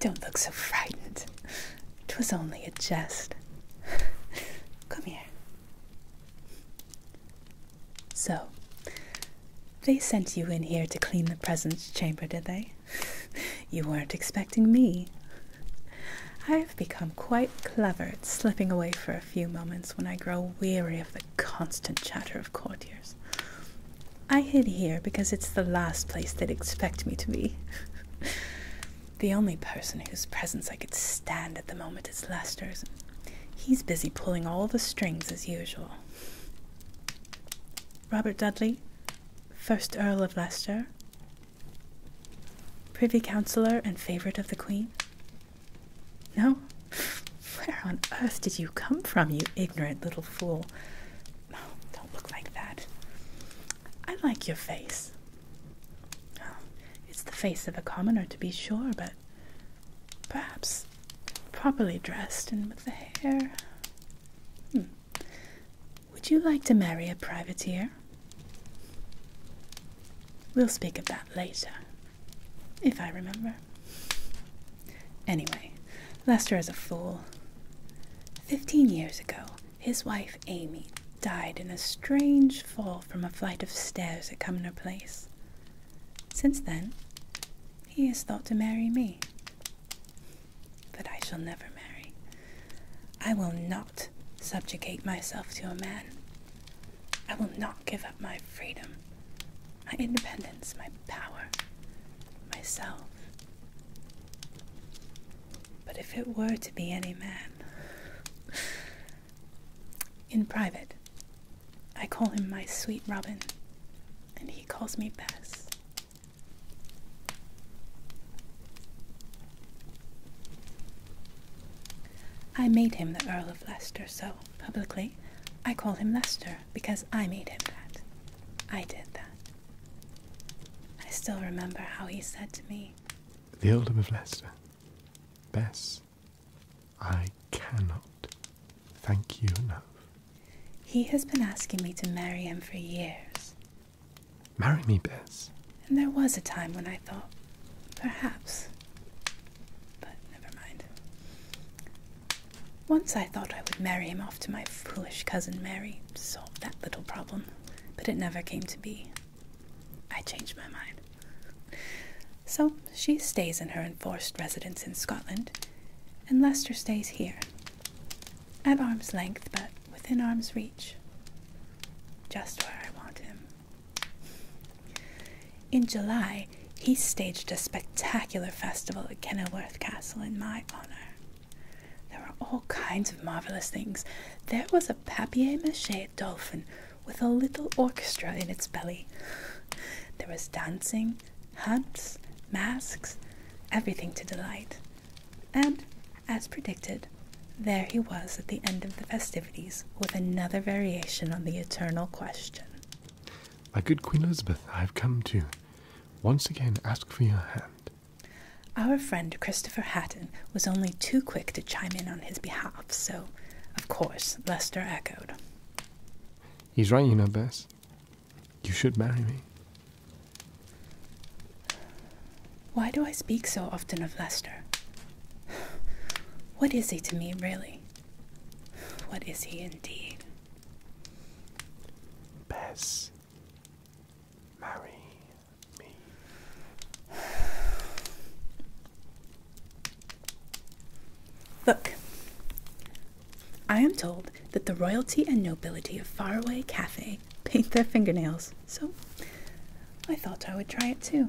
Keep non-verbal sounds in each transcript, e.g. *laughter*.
Don't look so frightened. 'Twas only a jest. Come here. So, they sent you in here to clean the presence chamber, did they? You weren't expecting me. I I've become quite clever at slipping away for a few moments when I grow weary of the constant chatter of courtiers. I hid here because it's the last place they'd expect me to be. *laughs* the only person whose presence I could stand at the moment is Lester's. He's busy pulling all the strings as usual. Robert Dudley, 1st Earl of Leicester, Privy Councillor and favourite of the Queen, no? Where on earth did you come from, you ignorant little fool? Oh, don't look like that. I like your face. it's the face of a commoner, to be sure, but perhaps properly dressed and with the hair. Hmm. Would you like to marry a privateer? We'll speak of that later. If I remember. Anyway, Lester is a fool. Fifteen years ago, his wife Amy died in a strange fall from a flight of stairs at Cumnor Place. Since then, he has thought to marry me. But I shall never marry. I will not subjugate myself to a man I will not give up my freedom, my independence, my power, myself. But if it were to be any man, in private, I call him my sweet Robin, and he calls me Bess. I made him the Earl Earl of Leicester, so publicly I call him Leicester because I made him that. I did that. I still remember how he said to me, The Earldom of Leicester, Bess, I cannot thank you enough. He has been asking me to marry him for years. Marry me, Bess. And there was a time when I thought, perhaps but never mind. Once I thought I would marry him off to my foolish cousin Mary, to solve that little problem, but it never came to be. I changed my mind. So she stays in her enforced residence in Scotland, and Lester stays here, at arm's length, but within arm's reach, just where I want him. In July, he staged a spectacular festival at Kenilworth Castle in my honor. There were all kinds of marvelous things. There was a papier mache dolphin with a little orchestra in its belly. There was dancing, hunts, masks, everything to delight. And, as predicted, there he was at the end of the festival with another variation on the eternal question. My good Queen Elizabeth, I have come to once again ask for your hand. Our friend Christopher Hatton was only too quick to chime in on his behalf, so, of course, Lester echoed. He's right, you know, Bess. You should marry me. Why do I speak so often of Lester? *sighs* What is he to me, really? What is he indeed? Bess, marry me. Look, I am told that the royalty and nobility of faraway Cathay paint their fingernails, so I thought I would try it too.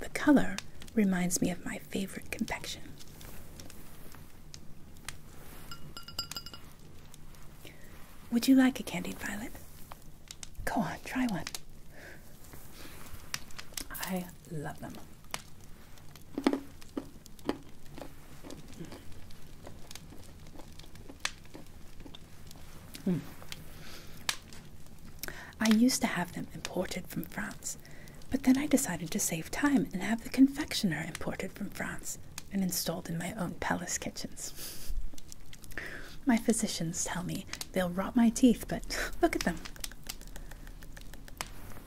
The color reminds me of my favorite confection. Would you like a candied violet? Go on, try one. I love them. I used to have them imported from France, but then I decided to save time and have the confectioner imported from France and installed in my own palace kitchens. My physicians tell me they'll rot my teeth, but *laughs* look at them.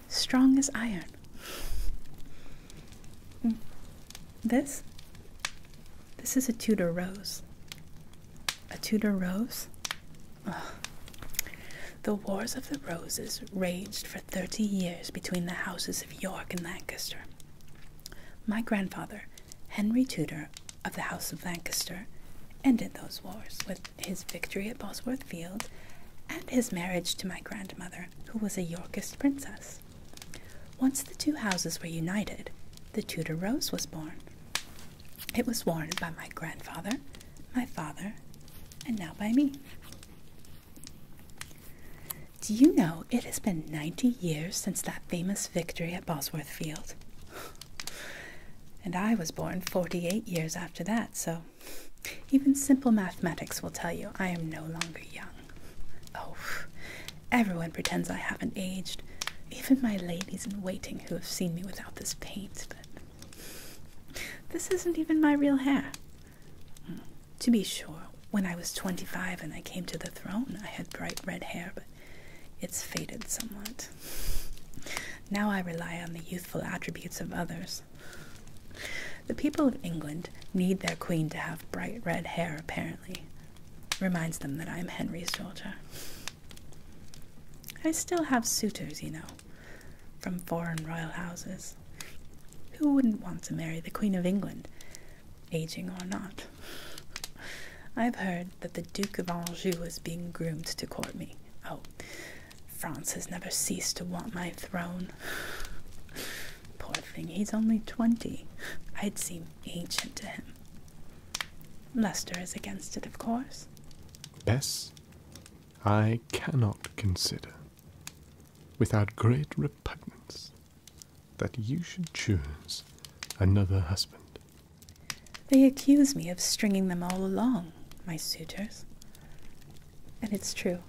Strong as iron. Hmm. This? This is a Tudor rose. A Tudor rose? The Wars of the Roses raged for thirty years between the houses of York and Lancaster. My grandfather, Henry Tudor of the House of Lancaster, ended those wars with his victory at Bosworth Field and his marriage to my grandmother, who was a Yorkist princess. Once the two houses were united, the Tudor Rose was born. It was worn by my grandfather, my father, and now by me. Do you know it has been 90 years since that famous victory at Bosworth Field? And I was born 48 years after that, so even simple mathematics will tell you I am no longer young. Oh, everyone pretends I haven't aged, even my ladies in waiting who have seen me without this paint, but this isn't even my real hair. To be sure, when I was 25 and I came to the throne, I had bright red hair, but it's faded somewhat. Now I rely on the youthful attributes of others. The people of England need their queen to have bright red hair, apparently. Reminds them that I'm Henry's daughter. I still have suitors, you know, from foreign royal houses. Who wouldn't want to marry the Queen of England, aging or not? *laughs* I've heard that the Duke of Anjou is being groomed to court me. Oh, France has never ceased to want my throne. *sighs* Poor thing, he's only twenty. I'd seem ancient to him. Lester is against it, of course. Bess I cannot consider without great repugnance that you should choose another husband. They accuse me of stringing them all along, my suitors. And it's true.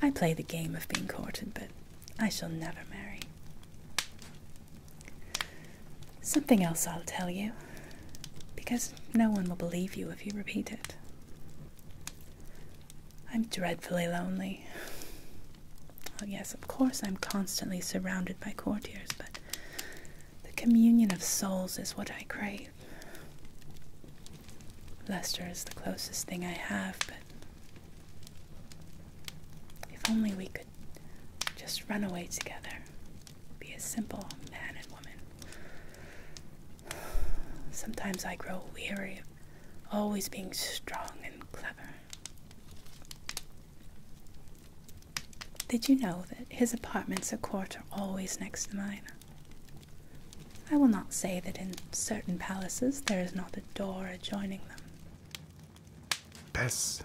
I play the game of being courted, but I shall never marry. Something else I'll tell you, because no one will believe you if you repeat it. I'm dreadfully lonely. Oh, yes, of course, I'm constantly surrounded by courtiers, but the communion of souls is what I crave. Lester is the closest thing I have, but if only we could just run away together be a simple man and woman. Sometimes I grow weary of always being strong and clever. Did you know that his apartments at court are always next to mine? I will not say that in certain palaces there is not a door adjoining them. Bess,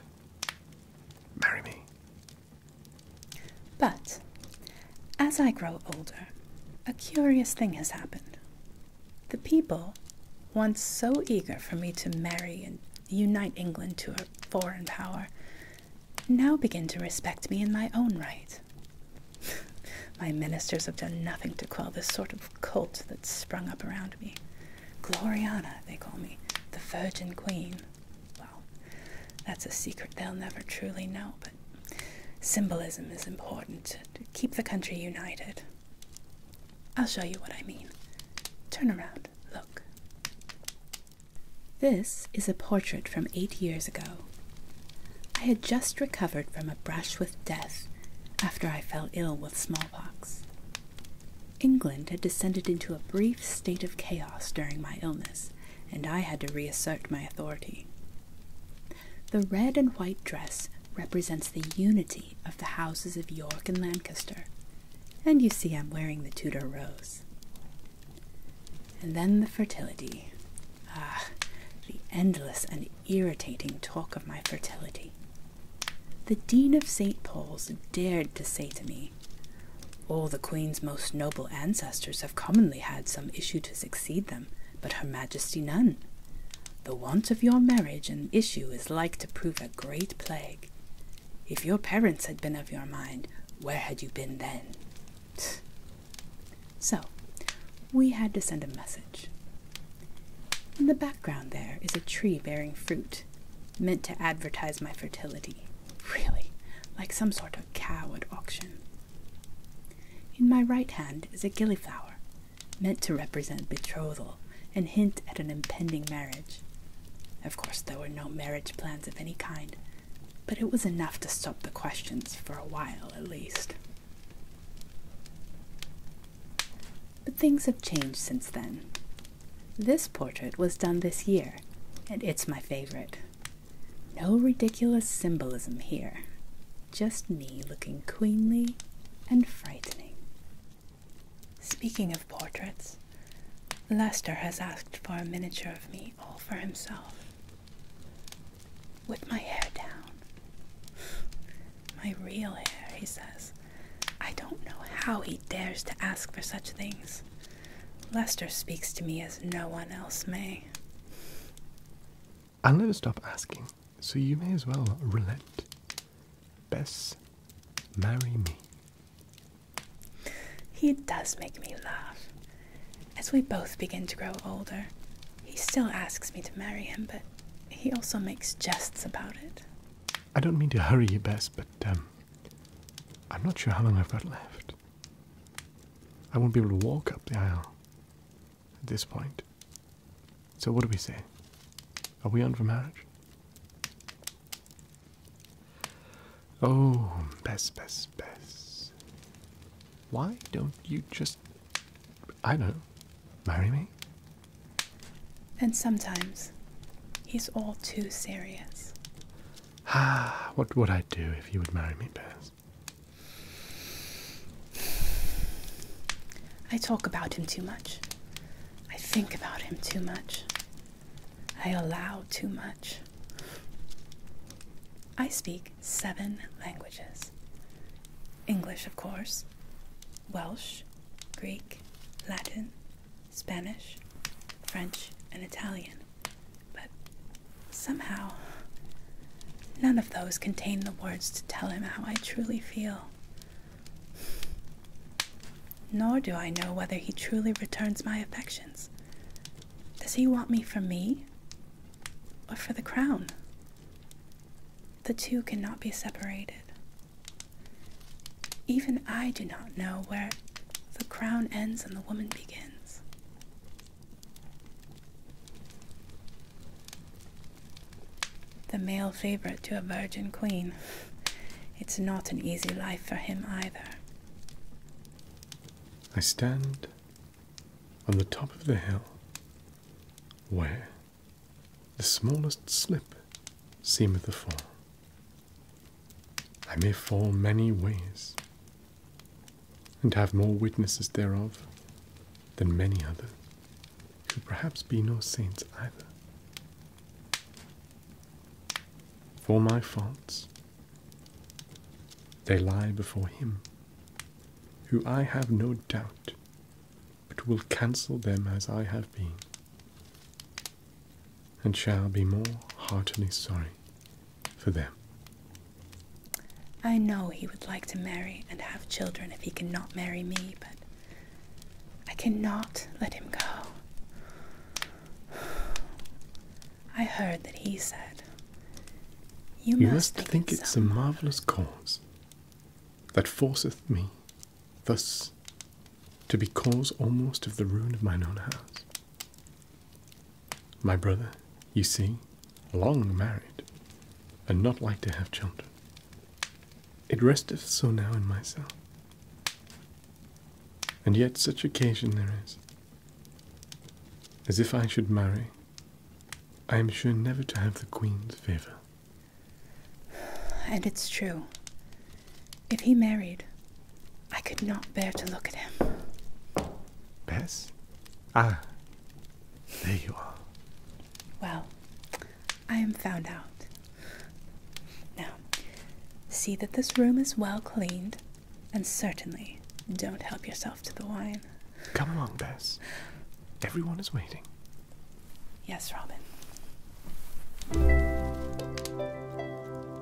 marry me. But as I grow older, a curious thing has happened. The people, once so eager for me to marry and unite England to a foreign power, now begin to respect me in my own right. *laughs* my ministers have done nothing to quell the sort of cult that's sprung up around me. Gloriana, they call me, the Virgin Queen well, that's a secret they'll never truly know, but symbolism is important to, to keep the country united. I'll show you what I mean. Turn around, look. This is a portrait from eight years ago. I had just recovered from a brush with death after I fell ill with smallpox. England had descended into a brief state of chaos during my illness, and I had to reassert my authority. The red and white dress represents the unity of the houses of York and Lancaster, and you see I'm wearing the Tudor rose. And then the fertility. Ah, the endless and irritating talk of my fertility. The Dean of St. Paul's dared to say to me, all the Queen's most noble ancestors have commonly had some issue to succeed them, but Her Majesty none. The want of your marriage and issue is like to prove a great plague. If your parents had been of your mind, where had you been then? So, we had to send a message. In the background, there is a tree bearing fruit, meant to advertise my fertility. Really, like some sort of cow at auction. In my right hand is a gilliflower, meant to represent betrothal and hint at an impending marriage. Of course, there were no marriage plans of any kind, but it was enough to stop the questions for a while at least. But things have changed since then. This portrait was done this year, and it's my favorite. No ridiculous symbolism here, just me looking queenly and frightening. Speaking of portraits, Lester has asked for a miniature of me all for himself. With my hair down. My real hair, he says. I don't know how he dares to ask for such things. Lester speaks to me as no one else may. I'll never stop asking, so you may as well relent. Bess, marry me. He does make me laugh. As we both begin to grow older, he still asks me to marry him, but he also makes jests about it. I don't mean to hurry you, Bess, but um, I'm not sure how long I've got left. I won't be able to walk up the aisle at this point. So, what do we say? Are we on for marriage? Oh, Bess, Bess, Bess. Why don't you just, I don't know, marry me? And sometimes he's all too serious. Ah, *sighs* what would I do if you would marry me, Bess? I talk about him too much. I think about him too much. I allow too much. I speak seven languages English, of course, Welsh, Greek, Latin, Spanish, French, and Italian. But somehow, none of those contain the words to tell him how I truly feel. Nor do I know whether he truly returns my affections. Does he want me for me or for the crown? The two cannot be separated. Even I do not know where the crown ends and the woman begins. The male favorite to a virgin queen. It's not an easy life for him either. I stand on the top of the hill where the smallest slip seemeth a fall. I may fall many ways, and have more witnesses thereof than many others, who perhaps be no saints either. For my faults, they lie before him, who I have no doubt but will cancel them as I have been, and shall be more heartily sorry for them. I know he would like to marry and have children if he cannot marry me, but I cannot let him go. I heard that he said, You, must, think, think it's a marvellous cause that forceth me thus to be cause almost of the ruin of mine own house. My brother, you see, long married, and not like to have children. It resteth so now in myself. And yet such occasion there is, as if I should marry, I am sure never to have the Queen's favour. And it's true. If he married, I could not bear to look at him. Bess? Ah, there you are. Well, I am found out. Now, see that this room is well cleaned, and certainly don't help yourself to the wine. Come along, Bess. Everyone is waiting. Yes, Robin.